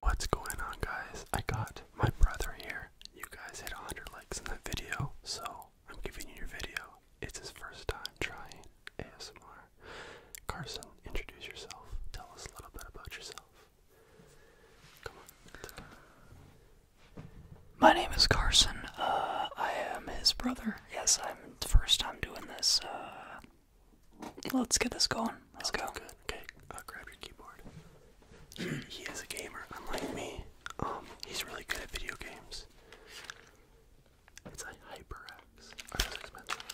What's going on, guys? I got my brother here. You guys hit 100 likes in that video, so I'm giving you your video. It's his first time trying ASMR. Carson, introduce yourself. Tell us a little bit about yourself. My name is Carson. Uh, I am his brother. Yes, I'm the first time doing this. Uh, Let's get this going. Let's go. Good. Okay, will grab your keyboard. He, he is a gamer, unlike me. Um, he's really good at video games. It's a HyperX. Are those expensive?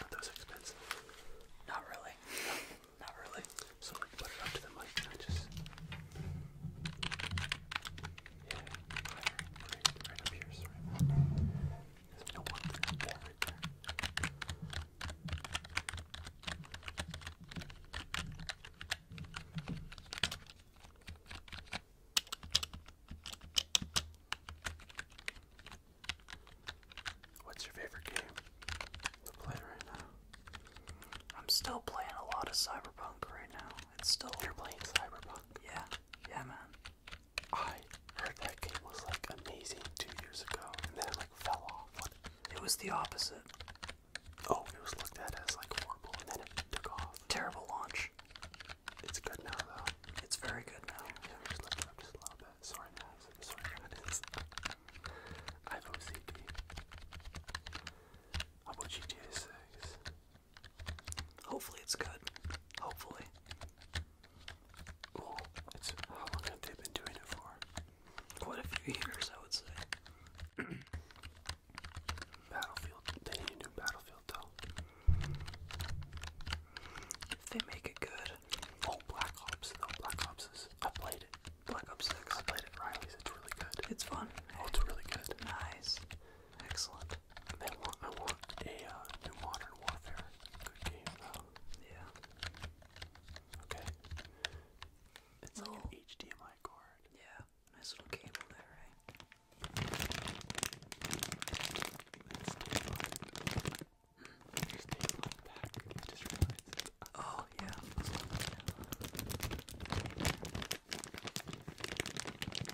Are those expensive? Not really. not really. So like, put it up to the mic and I just. Yeah, right up here, sorry. What's your favorite game to right now? I'm still playing a lot of Cyberpunk right now. It's still You're playing Cyberpunk? Yeah. Yeah man. I heard that game was like amazing two years ago, and then it like fell off. It was the opposite. Oh, it was looked at as like horrible, and then it took off. Terrible launch. It's good now though. It's very good now. i just looking up Sorry, Max. Sorry, Max. I have OCD. How about GTA 6? Hopefully it's good. Hopefully it's how long have they been doing it for? Quite a few years, I would say. Battlefield. They need a Battlefield, though. If they make it good. Oh, Black Ops, though. Black Ops is. I played it. Black Ops 6. I played it, Riley's. It's really good. It's fun. Oh, it's really good. Nice. Excellent. I want, I want a uh, new Modern Warfare. Good game though. Yeah. Okay. It's like an HDMI cord. Yeah. Nice little cable there, right? Let's take I just realized it. Oh yeah.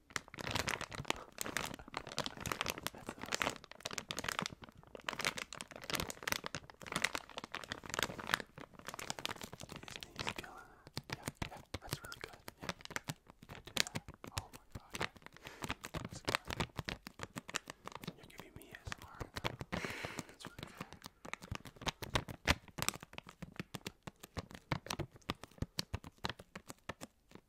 That's awesome. Isn't he killing it? Yeah, yeah, that's really good. Yeah, yeah, yeah, do that. Oh my god, yeah. That's good. You're giving me his heart. Uh, that's really good.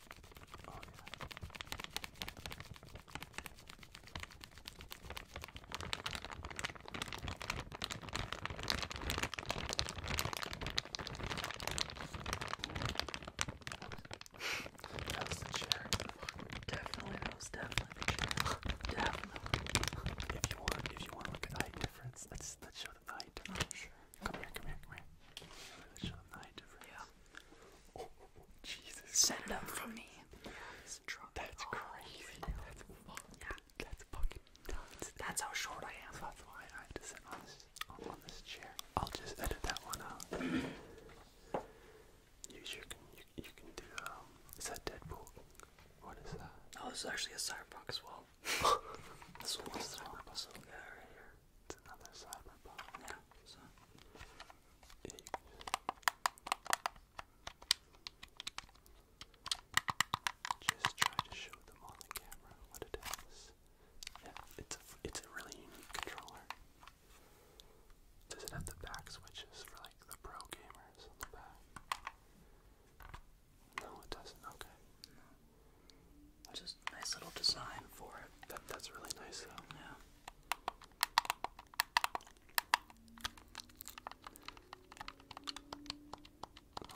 Oh, yeah. that was the chair. Definitely, that was definitely the chair. definitely. If you want, if you want to look at the height difference, let's let's show them the height difference. Oh, sure. Come here, come here, come here. Yeah. Oh, Jesus. Send them for me. That's oh, crazy. That's, fucking That's how short I am. That's why I had to sit on this, chair. I'll just edit that one out. You sure you, can do, um, is that Deadpool? What is that? Oh, this is actually a Cyberpunk as well. It's another cyberpunk. Yeah, Just try to show them on the camera what it is. Yeah, it's a, it's a really unique controller. Does it have the back switches for like the pro gamers on the back? No, it doesn't. Okay. Just nice little design for it. that's really nice though. Yeah.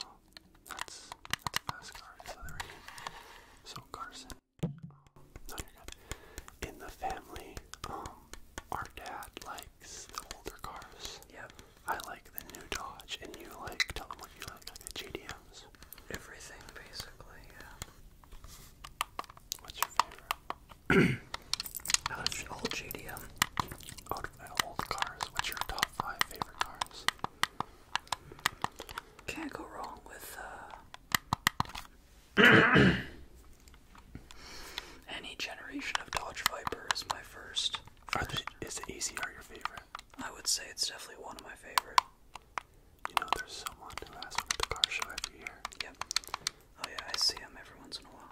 Oh, that's that's a So Carson, no, In the family, um, our dad likes the older cars. Yep. I like the new Dodge, and you like tell them what you like, like everything basically, yeah. What's your favorite? all GDM, out of old cars, what's your top five favorite cars? Can't go wrong with uh, any generation of Dodge Viper is my first. is the ACR your favorite? I would say it's definitely one of my favorite. You know, there's someone who has one at the car show every year. Yep. Oh yeah, I see him every once in a while.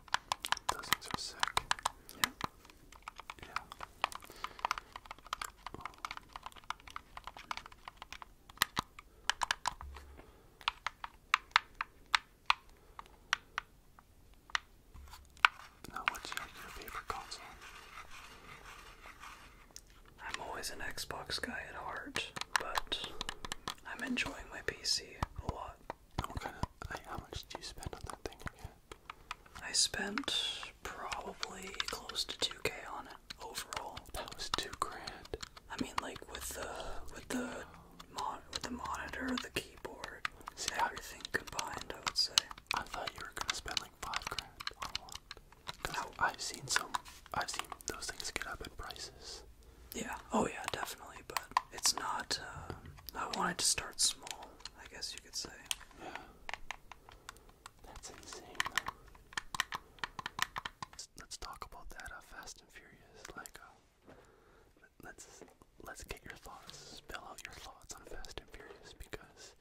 Those things are sick. Yeah. Yeah. now, what's your, favorite console? I'm always an Xbox guy at heart, but I'm enjoying my PC a lot. What kind of, how much do you spend on that thing I spent probably close to 2k on it overall. That was two grand. I mean, like with the with the mon with the monitor, the keyboard, See, how everything combined, I would say. I thought you were gonna spend like five grand on one. Now I've seen some, I've seen those things get up in prices. Yeah. Oh yeah, definitely. But it's not. Uh, I wanted to start small. I guess you could say. Yeah. That's insane. Though. Let's, talk about that. Uh, Fast and Furious. Like, uh, let's let's get your thoughts. Spill out your thoughts on Fast and Furious because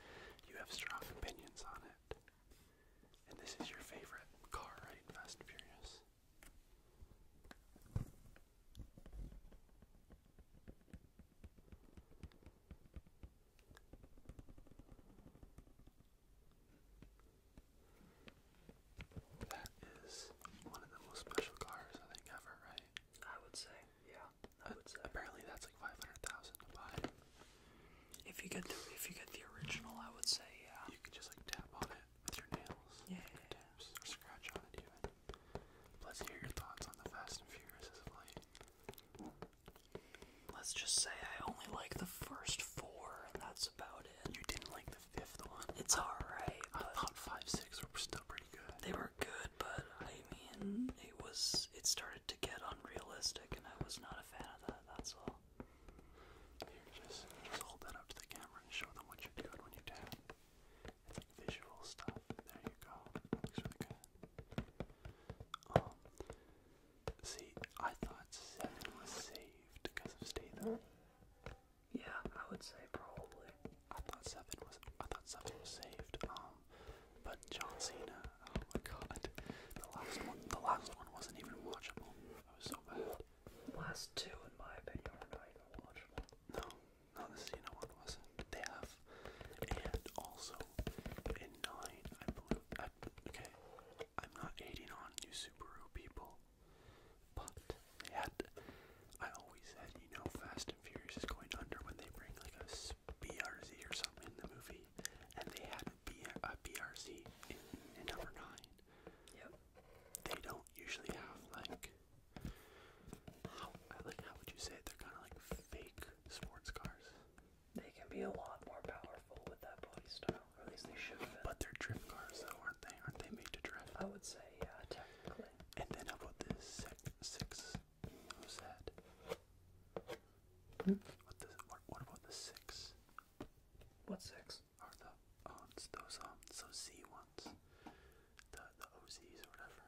you have strong opinions on it. And this is your favorite car, right? Fast and Furious. That is one of the most special cars I think ever, right? I would say, yeah. I would say. Apparently that's like 500,000 to buy. If you get the if you get the original, I would say yeah. You can just like tap on it with your nails. Yeah. Your scratch on it even. Let's hear your thoughts on the Fast and Furious of late. Let's just say I only like the first four, and that's about it. You didn't like the fifth one. It's alright. I thought five, six were still pretty good. They were good, but I mean, it was it started to get unrealistic, and I was not a fan of that. That's all just, hold that up to the camera and show them what you're doing when you tap. It's like visual stuff. There you go. Looks really good. Um, see, I thought seven was saved because of Statham. Yeah, I would say probably. I thought seven was. I thought seven was saved. Um, but John Cena Oh my god. The last one the last one wasn't even watchable. That was so bad. The last two in my opinion are not even watchable. No, no this you know one wasn't. They have and also in nine I believe I okay. I'm not hating on you Subaru people. But they had I always said, you know, Fast and Furious is going under when they bring like a BRZ or something in the movie, and they had a, B, a BRZ number nine. Yep. They don't usually have like how like how would you say They're kind of like fake sports cars. They can be a lot more powerful with that body style, or at least they should. but they're drift cars, though, aren't they? Aren't they made to drift? I would say, yeah, technically. And then how about this six? six who's that? Hmm? What, the, what about the six? What six are the ones? Those um, so Z ones, the the OZs or whatever.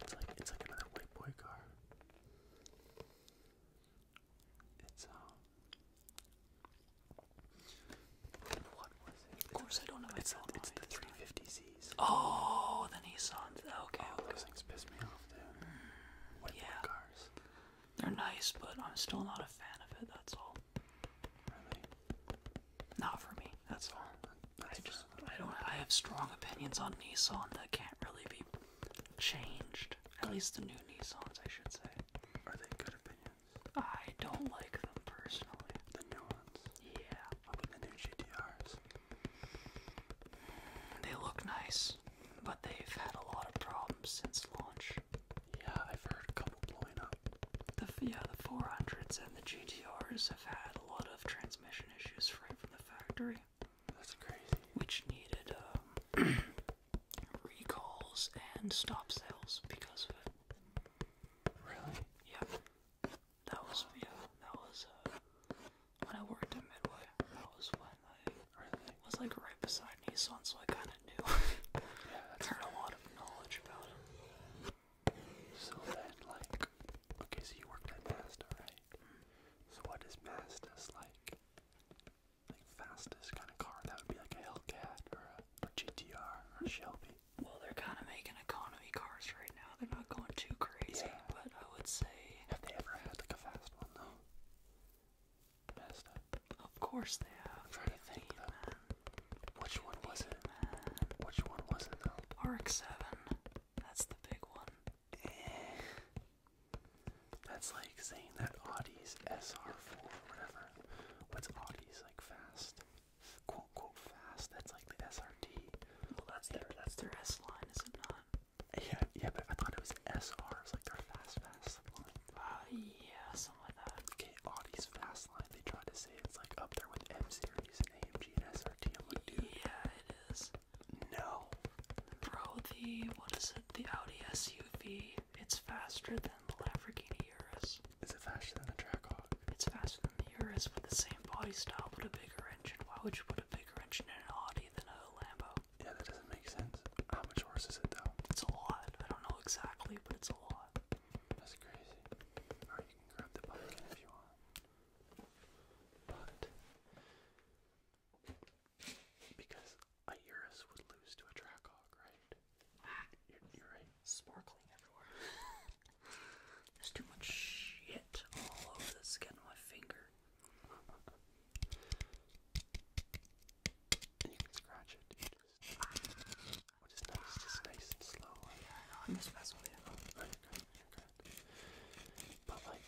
It's like it's like another white boy car. It's um. What was it? Of course, I don't know. It's it's the 350Zs. Oh, the Nissan. Okay. Oh, okay. those things piss me off, dude. Hmm. white boy cars. They're nice, but I'm still not a fan of it, that's all. Not for me, that's all. Oh, I just I don't I have strong opinions on Nissan that can't really be changed. At least the new Nissans, I should say. Are they good opinions? I don't like them personally. The new ones? Yeah. the new GTRs? They look nice. But they've had a lot of problems since launch. Yeah, I've heard a couple blowing up. The yeah, the 400s and the GTRs have had a lot of transmission issues right from the factory. That's crazy. Which needed um, recalls and stop sales because of it. Really? Yeah. That was yeah. That was uh, when I worked at Midway. That was when it was like right beside me, so I kind of knew. yeah, that's heard a lot of knowledge about him. So then, like, okay, so you worked at Mazda, right? Mm-hmm. So what is Mazda's like? Like fastest kind of car? That would be like a Hellcat or a GTR or Shelby. Well, they're kind of making economy cars right now. They're not going too crazy, but I would say. Have they ever had like a fast one though? Of course they have. I'm trying to think Which one was it? Man. Which one was it though? RX-7. That's the big one. That's like saying that Audi's SR4 or whatever. What's Audi's like fast? Quote quote fast. That's like the SRT. Well, that's their that's their S line, is it not? Yeah, yeah, but I thought it was It's like their fast, fast line. Ah, yeah, something like that. Okay, Audi's fast line, they tried to say it's like up there with M series and AMG and SRT. I'm like, Yeah, it is. No. Bro, the, what is it, the Audi SUV, it's faster than the Lamborghini Urus. Is it faster than the Trackhawk? It's faster than the Urus with the same body style but a bigger engine. Why would you put a bigger engine in an Audi than a Lambo? Yeah, that doesn't make sense. How much worse is it though? It's a lot. I don't know exactly, but it's a lot. That's crazy. Alright, you can grab the pumpkin if you want. But because a would lose to a Trackhawk, right? you're, right. Sparkling everywhere. There's too much shit all over the skin of my finger you can scratch it. You just, nice, just nice and slow. yeah, I'm just messing with you. Oh, But like,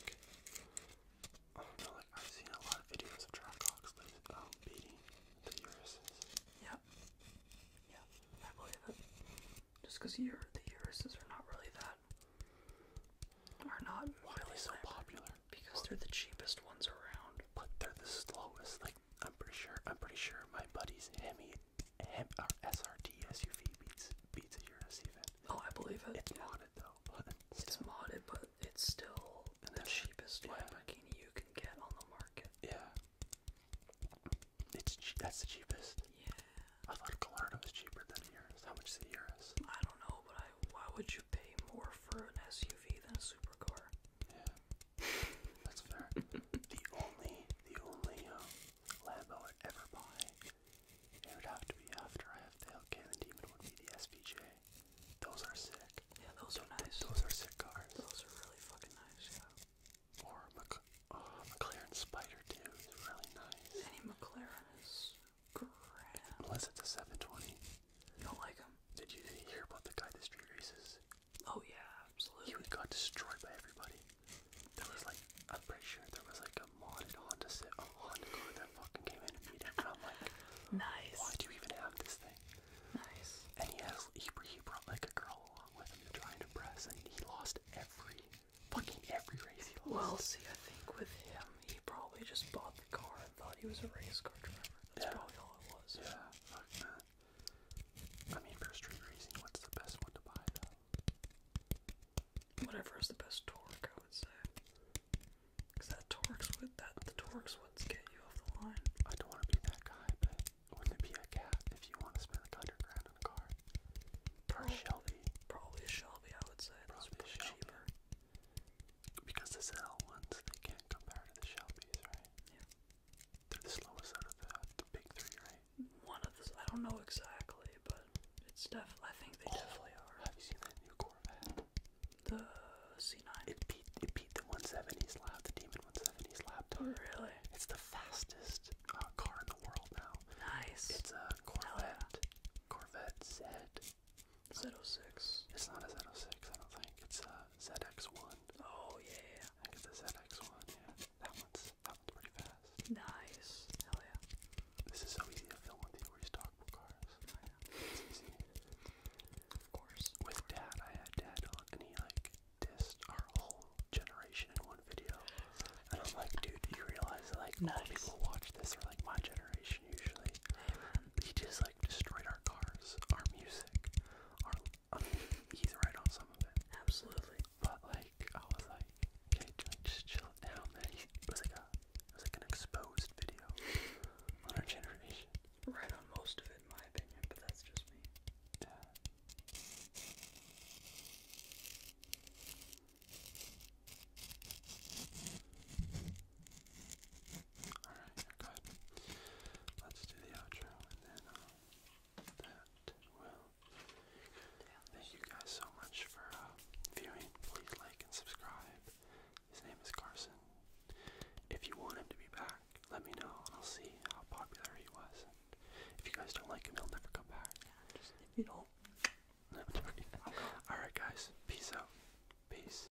I Like I've seen a lot of videos of track clocks like um, beating the urises. Yep. Yeah, I believe it. Just because the urises are not really that. Are not. Why so popular? because they're the cheapest ones around. But they're the slowest. Like I'm pretty sure. I'm pretty sure my buddy's Hemi, Hem, our SRT SUV beats beats yours even. Oh, I believe it. It's yeah. modded though, it's modded, but it's still the cheapest yeah. Lamborghini you can get on the market. Yeah. It's that's the cheapest. Yeah. I thought Gallardo was cheaper than yours. How much is the Urus? I don't know, but I why would you pay more for an SUV than a supercar? Yeah, that's fair. the only the only um, Lambo I'd ever buy, it would have to be after I have the Hellcat Demon would be the SVJ. Those are sick. Yeah, those are nice. Those are sick cars. Those are really fucking nice. Yeah. Or Mc oh, McLaren Spider too is really nice. Any McLaren Unless it's a 720. don't like him? Did you hear about the guy that street races? Oh yeah, absolutely. He got destroyed by everybody. There was like, I'm pretty sure there was like a modded Honda, a Honda car that fucking came in and beat him. And I'm like, nice. Why do you even have this thing? Nice. And he has, he, he brought like a girl along with him to try and impress, and he lost every, fucking every race Well, see, I think with him, he probably just bought the car I thought he was a race car driver. That's probably all it was. Yeah, fuck that. I mean, for street racing, what's the best one to buy, though? Whatever is the best torque, I would say. Because that torque's would that the torque's would get you off the line. I don't want to be that guy, but wouldn't it be a cat if you want to spend like hundred grand on a car? probably, Shelby. Probably Shelby, I would say. probably cheaper. Because the ZL ones, they can't compare to the Shelby's, right? Yeah. They're the slowest out of the, the big three, right? One of the, I don't know exactly, but it's definitely, I think they definitely oh, are. Have you seen that new Corvette? The C9? It beat, it beat the 170s lap, the Demon 170s lap. Really? It's the fastest uh, car in the world now. Nice. It's a Corvette, yeah. Corvette Z Z06. It's not a Z06, I don't think. It's a ZX1. Oh, yeah. I think the ZX1, yeah. That one's, that one's pretty fast. Nice. Hell yeah. This is so easy to film with you where you talk about cars. yeah. It's easy. Of course. With Dad, I had Dad on, and he, like, dissed our whole generation in one video. And I'm like, dude, do you realize, like, nice. all people watch this are, like, my generation usually he just like destroyed our cars, our music, our. I um, he's right on some of it. Absolutely. But like, I was like, okay, just chill it down, man. it was like a, it was like an exposed video on our generation. Right on most of it, in my opinion, but that's just me. Yeah. Alright, you Let's do the outro and then uh, will. Thank you guys so much for uh, viewing. Please like and subscribe. His name is Carson. If you want him to be back, let me know. I'll see how popular he was. if you guys don't like him, he'll never come back. if you don't. No, Alright, guys. Peace out. Peace.